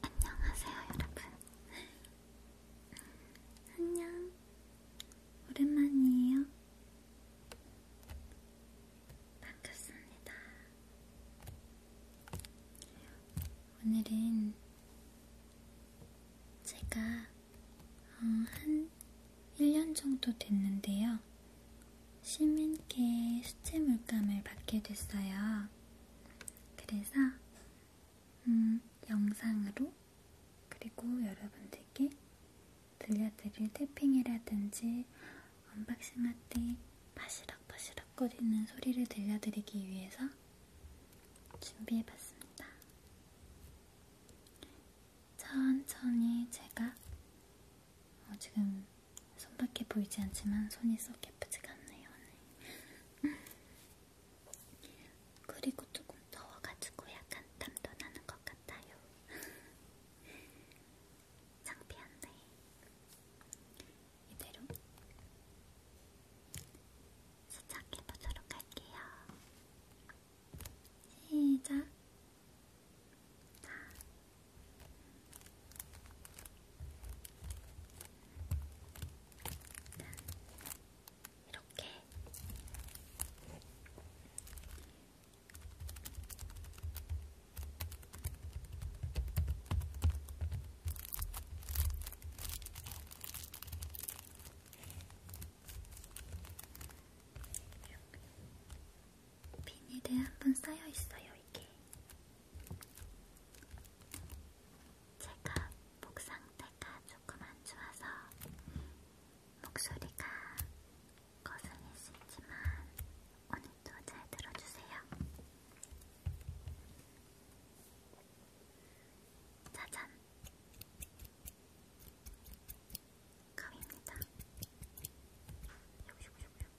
안녕하세요, 여러분. 안녕. 오랜만이에요. 반갑습니다. 오늘은 제가 어, 한 1년 정도 됐는데요. 시민께 수채 물감을 받게 됐어요. 그래서 음, 영상으로 그리고 여러분들께 들려드릴 태핑이라든지 언박싱할 때 바시락바시락거리는 소리를 들려드리기 위해서 준비해봤습니다. 천천히 제가 어, 지금 손밖에 보이지 않지만 손이 썩 예쁘지가 않네요. 오늘. 그리고 조금 더워가지고 약간 땀도 나는 것 같아요. 창피한데 이대로 시작해보도록 할게요. 시작. 이렇게 이렇게 비닐에 한 번 쌓여있어요, 이게. 제가 목 상태가 조금 안 좋아서 목소리가 거슬릴 수 있지만 오늘도 잘 들어주세요. 짜잔! 컵입니다. 요구요구요구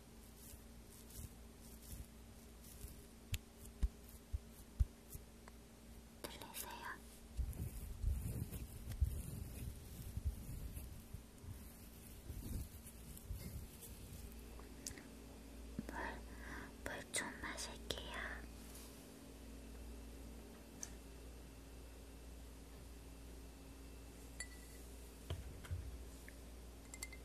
들리세요? 물좀 물 마실게요.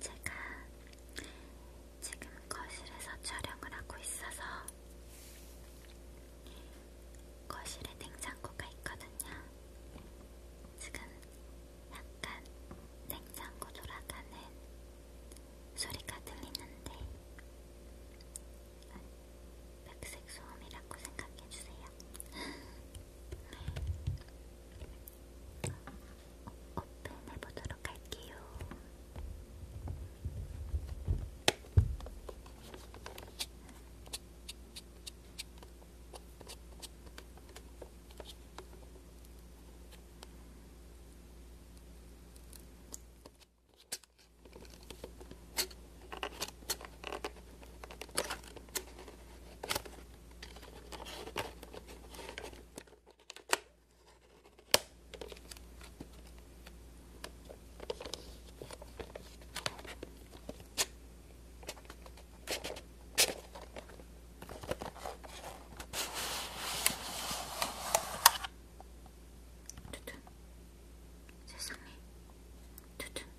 제가 지금 거실에서 촬영을 하고 있어서 거실에 냉장고가 있거든요. 지금 약간 냉장고 돌아가는 소리가 들리는데 백색 소음이라고 생각해주세요. 어, 오픈해보도록 할게요. 어쨌든 세상에 어쨌든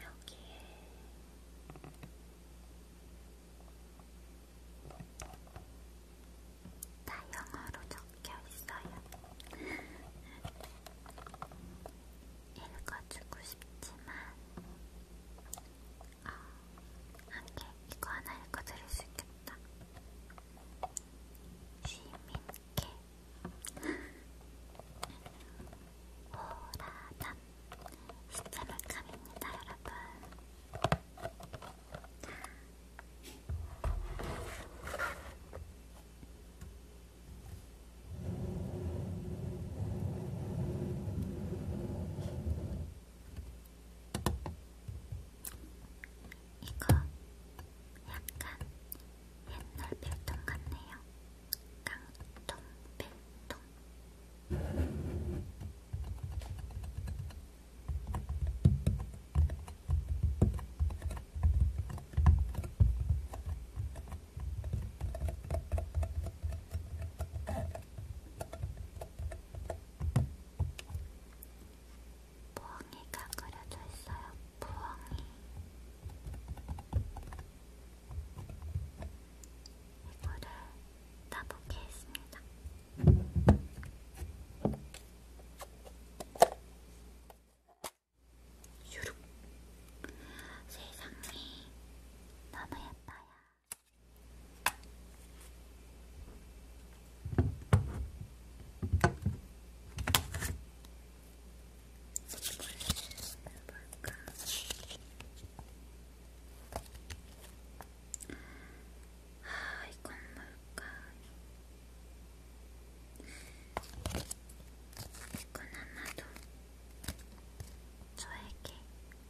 여기에 다 영어로 적혀 있어요. 읽어주고 싶지만, 어, 한 개, 이거 하나 읽어드릴 수 있겠다. 시민께 호라담 시체물감입니다 여러분 이거 약간 옛날 필통 같네요. 깡통 필통. 부엉이가 그려져 있어요. 부엉이. 이거를 따보게 했습니다. 유룩. 세상이 너무 예뻐요. 아, 이건 뭘까? 이건 아마도 저에게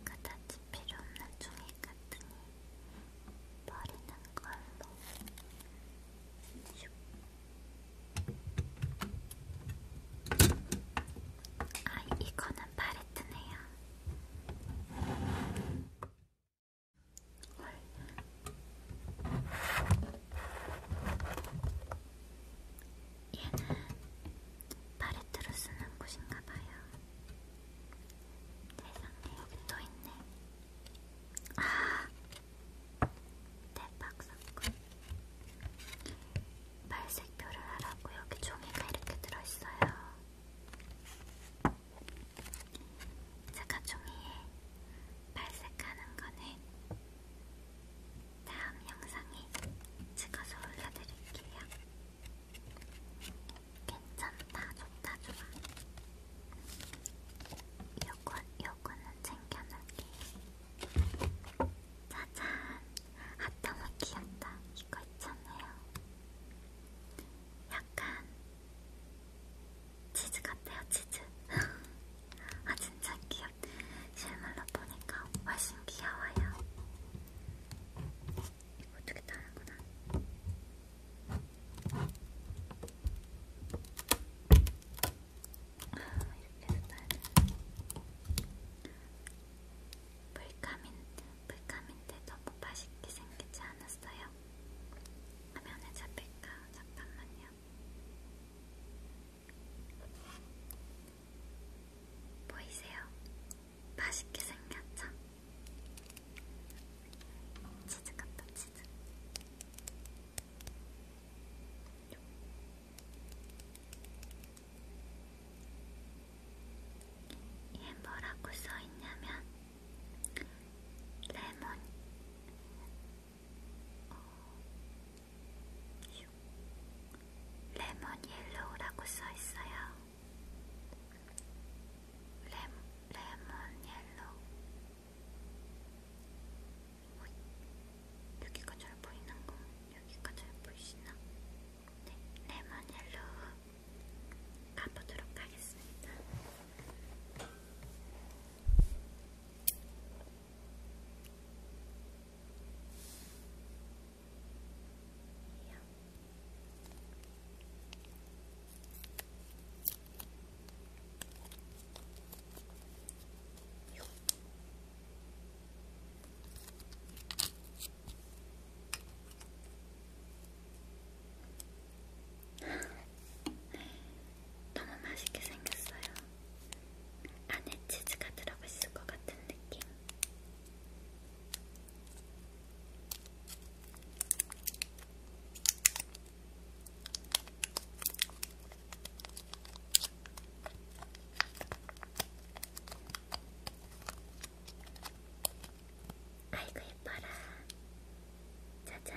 그다지 필요 없는 종이 같으니 바르는 걸로. 아, 이거는 팔레트네요. 헐. 얘는 팔레트로 쓰는 곳인가봐요. 세상에 여기 또 있네. 아, 대박 사건. 발색표를 하라고 여기 종이가 이렇게 들어있어요. 제가 종이에 발색하는 거는 다음 영상에 찍어서 올려드릴게요. 괜찮다, 좋다, 좋아. 요건, 요거는 챙겨놓을게요. 짜잔! 아, 너무 귀엽다. 이거 있잖아요. 약간 치즈 같아요, 치즈. 아, 진짜 귀엽. 실물로 보니까 훨씬 귀여워요. 이거 어떻게 다는구나. 불감인, 불감인데 너무 맛있게 생기지 않았어요? 화면에 잡힐까? 잠깐만요. 보이세요? 맛있게 생겼죠? 치즈 같다, 치즈. 얘 예, 뭐라고 써있냐면 레몬 어, 레몬 옐로우라고 써있어요. 레, 레몬 옐로우 여기가 잘 보이는거? 여기가 잘 보이시나? 네, 레몬 네, 옐로우 가보도록 하겠습니다. 너무 맛있게 생겼어요. 안에 치즈가 들어가 있을 것 같은 느낌. 아이고 예뻐라 짜잔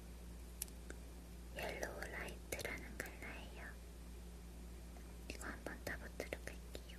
옐로우 라이트라는 컬러예요. 이거 한번 따보도록 할게요.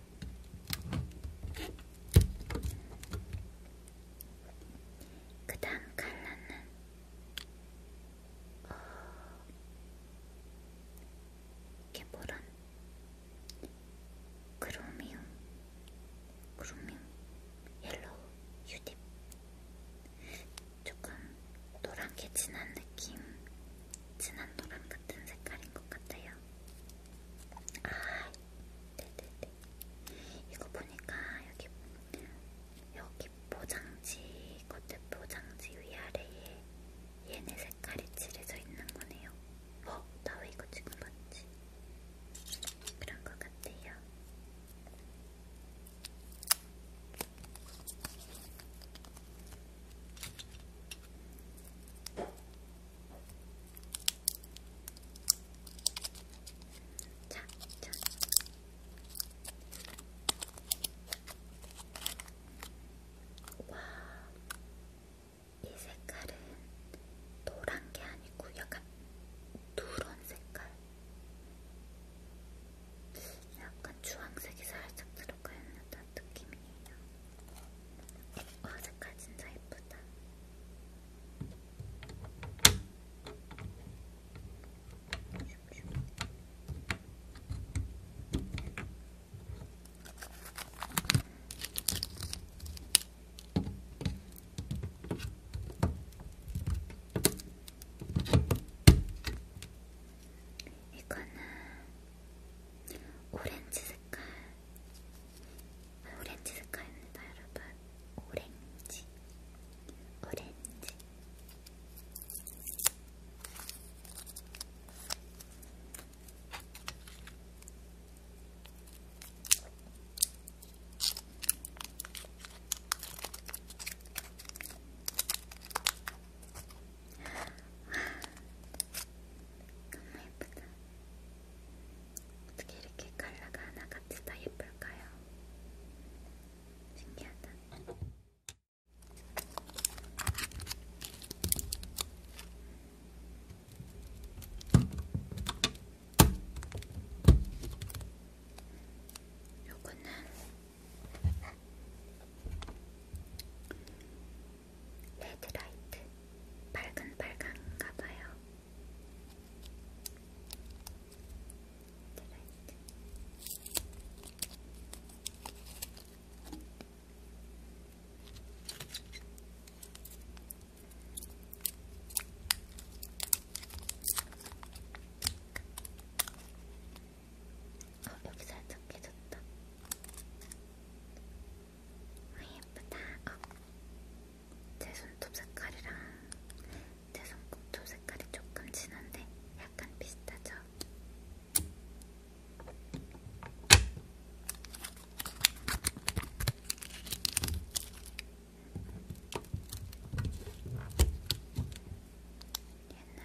그 다음 컬러는 어... 이게 뭐란 크로미움 크로미움 옐로우 유딥 조금 노랗게 진한 느낌 진한 노란 같은 색깔인 것 같아요. 아, 네네네. 이거 보니까 여기 여기 포장지 겉에 포장지 위아래에 얘네 색깔이 칠해져 있는 거네요. 어, 나 왜 이거 지금 봤지? 그런 것 같아요. 자, 자. 와, 이 색깔은 노란 게 아니고 약간 누런 색깔. 약간 주황색이 살짝 들어가 있는 듯한 느낌이에요. 와 색깔 진짜 예쁘다. 이거는 오렌지 색깔. 오렌지 색깔입니다, 여러분. 오렌지. 오렌지. 너무 예쁘다. 어떻게 이렇게 컬러가 하나같이 다 예쁠까요? 신기하다. 요거는 레드라이트 밝은빨강인가봐요 레드라이트 어, 여기 살짝 깨졌다. 아, 예쁘다. 어. 제 손톱 색깔이랑 제 손톱 색깔이 조금 진한데 약간 비슷하죠? 얘는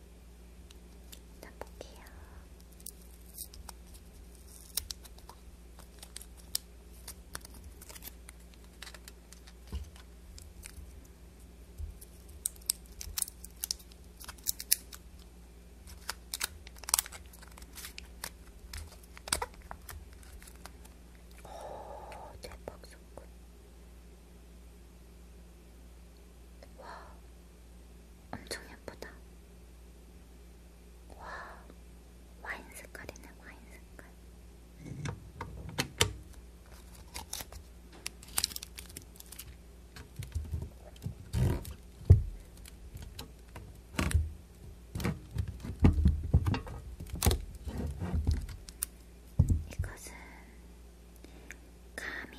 일단 볼게요. 오, 대박 소금. 와, 엄청 예쁘다. 와, 와인 색깔이네, 와인 색깔. 이것은 가민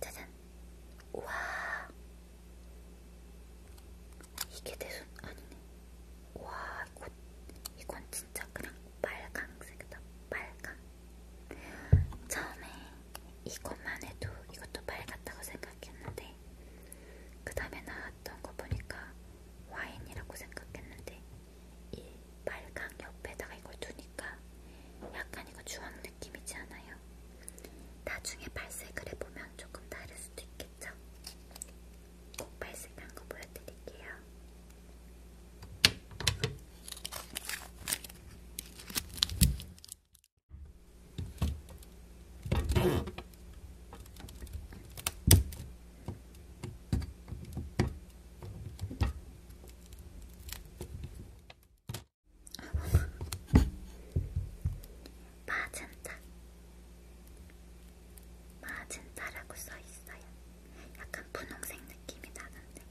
짜잔! 우와! 이게 대순 아니네. 우와, 이건, 이건 진짜 그냥 빨강색이다. 빨강. 처음에 이것만 해도 이것도 빨갛다고 생각 생각했는데 그 다음에 나왔던 거 보니까 와인이라고 생각했는데 이 빨강 옆에다가 이걸 두니까 약간 이거 주황 느낌이지 않아요? 나중에 발색을 해보면 조금 다를 수도 있겠죠? 꼭 발색한 거 보여드릴게요. 마젠타, 마젠타라고 써 있어요. 약간 분홍색 느낌이 나는데.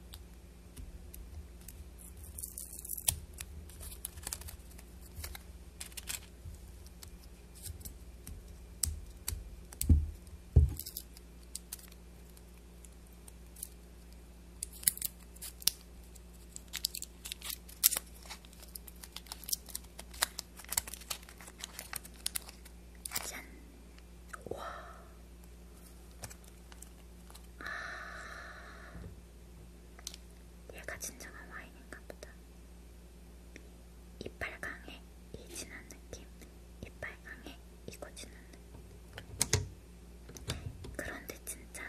짠! 와! 아... 얘가 진정한 와인인가 보다. 이빨 강해, 이 진한 느낌. 이빨 강해, 이거 진한 느낌. 그런데 진짜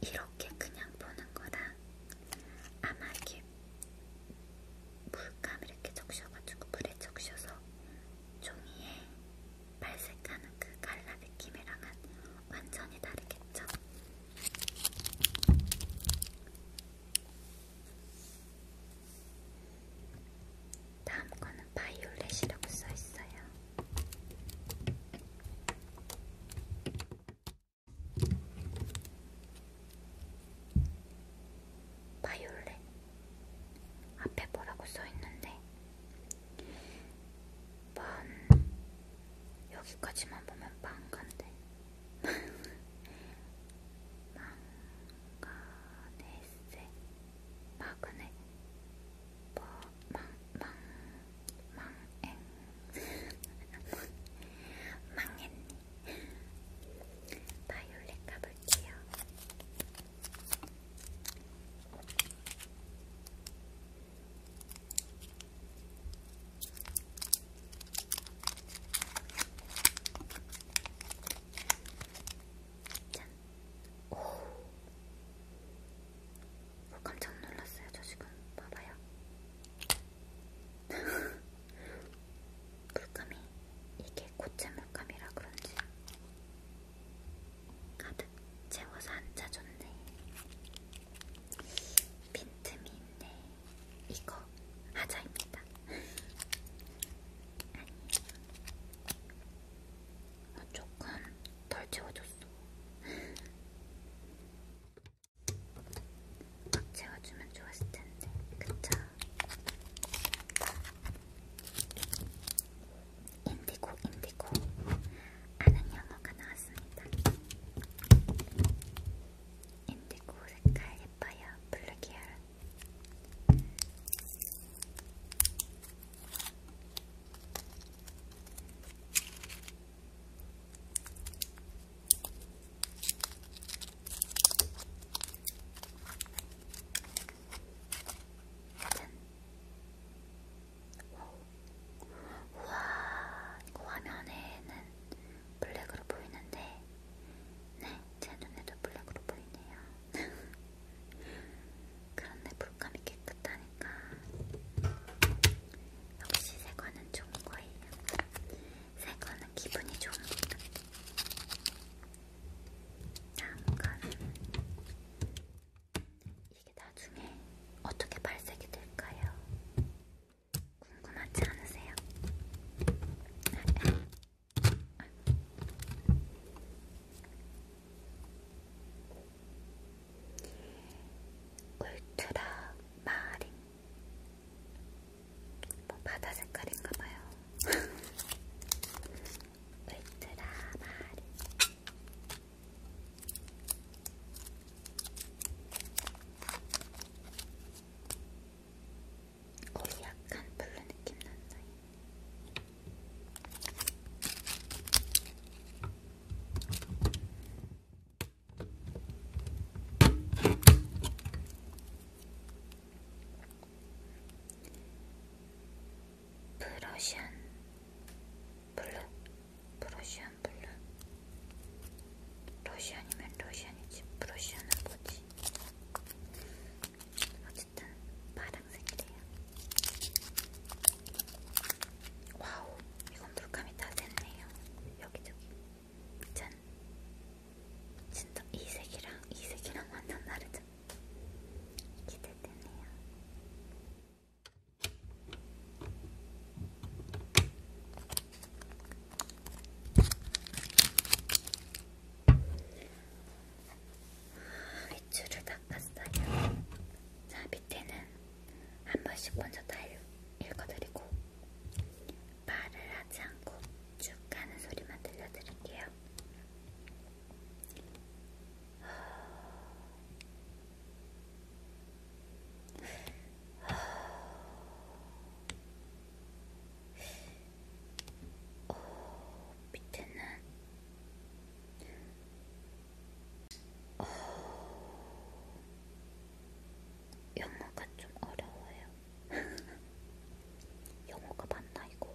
이렇게 그냥 보는 거랑 아마 이렇게 물감 이렇게 적셔가지고 물에 적셔서 종이에 발색하는 그 갈라 느낌이랑은 완전히 다르겠죠? 다음 거는 바이올렛이라고 써 있어요. 바이올렛 앞에 뭐라고 써 있는데 반 여기까지만 보면 망간데 망가네세 마그네 망망망망 망했니 바이올렛 가볼게요. 짠! 오! 뭐 깜짝 놀랐어요, 저 지금. 봐봐요. 물감이 이게 고체 물감이라 그런지 가득 채워서 앉아줬네. 빈틈이 있네. 이거 하자입니다. 아니에요. 조금 덜 채워줬어. 막 채워주면 좋았을 텐데, 그쵸? 인디고 인디고 아는 영어가 나왔습니다. 인디고 색깔 예뻐요. 블루 계열. 짠! 우와, 이거 화면에는 블랙으로 보이는데, 네, 제 눈에도 블랙으로 보이네요. 그런데 물감이 깨끗하니까 역시 새거는 좋은 거예요. 새거는 기분이 좋은 거예요. 잠깐 이게 나중에 어떻게 발색이 될까요? 궁금하지 않으세요? 울트라 마린 뭐 바다 색깔인가봐요 울트라 마린 오이 약간 블루 느낌 난다. 브러시안 블루, 프로시안 블루. 러시안이면 러시안이지, 프로시안은 뭐지? 어쨌든 파랑색이래요. 와우, 이건 물감이 다 됐네요. 여기저기. 짠. 진짜 이 색이랑 이 색이랑 완전 다르죠? 기대되네요. 밑줄을 닦았어요. 자, 밑에는 한 번씩 먼저 다 읽어드리고 말을 하지 않고 쭉 가는 소리만 들려드릴게요. 어, 밑에는 어, 영어가 좀 어려워요. 영어가 맞나 이거?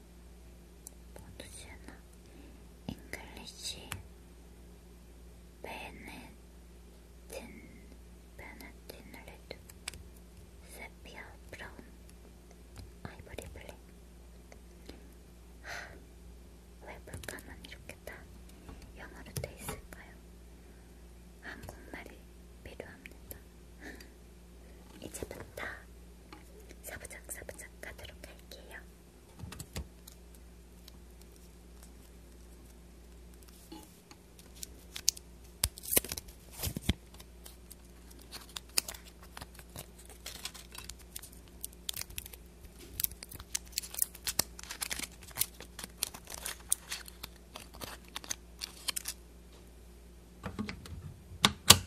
보드시나 잉글리시 베네틴 베네틴 레드 세피아 브라운 아이보리 블랙 하, 왜 볼까만 이렇게 다 영어로 돼 있을까요? 한국말이 필요합니다. 이제부터 사부작사부작 가도록 할게요.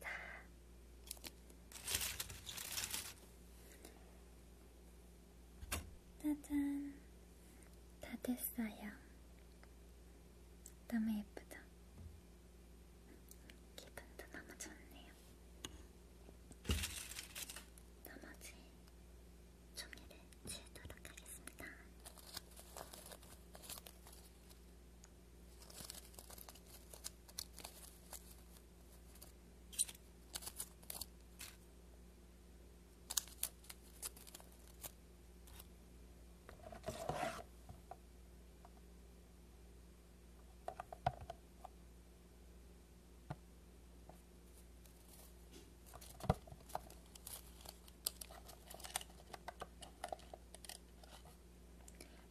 자. 짜잔. 다 됐어요. 너무 예쁘죠? 기분도 너무 좋네요. 나머지 종이를 지우도록 하겠습니다.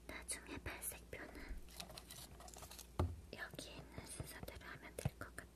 나중에 발색표는 여기 있는 순서대로 하면 될 것 같아요.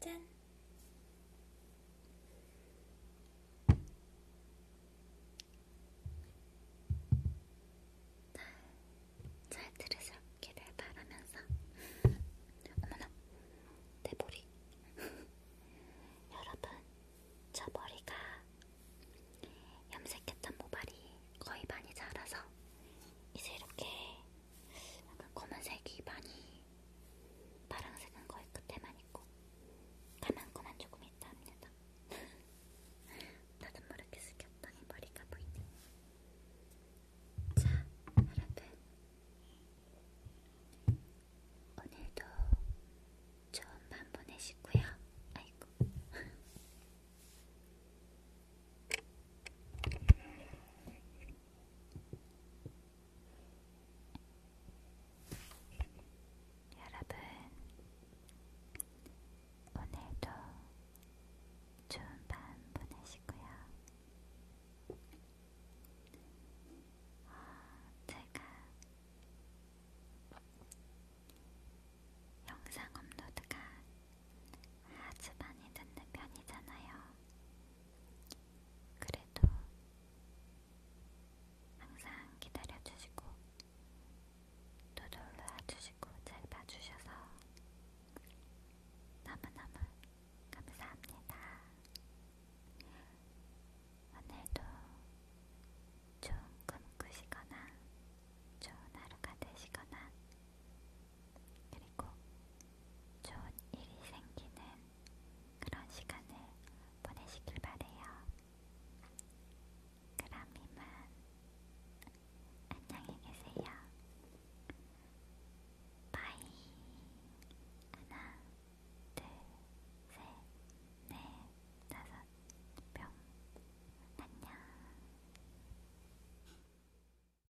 짠! 잘 들으셨기를 바라면서 어머나 내 머리 여러분 저 머리가 염색했던 모발이 거의 많이 자라서 이제 이렇게 약간 검은색이 많이 파랑색은 거의 끝에만 있고 까만 거만 조금 있다 합니다. 나도 모르게 숙였더니 머리가 보이네. 자, 여러분. 오늘도 좋은 밤 보내시고요. 아이고. 여러분, 오늘도 좋은 밤 보내시고요. 어, 제가 영상 업로드가 아주 많이 듣는 편이잖아요. 그래도 항상 기다려주시고 또 놀러와주시고 잘 봐주셔서 너무너무 감사합니다. 오늘도 좋은 꿈 꾸시거나 좋은 하루가 되시거나 그리고 좋은 일이 생기는 그런 시간을 보내시길 바래요. 그럼 이만 안녕히 계세요. 바이 하나 둘셋넷 다섯 뿅 안녕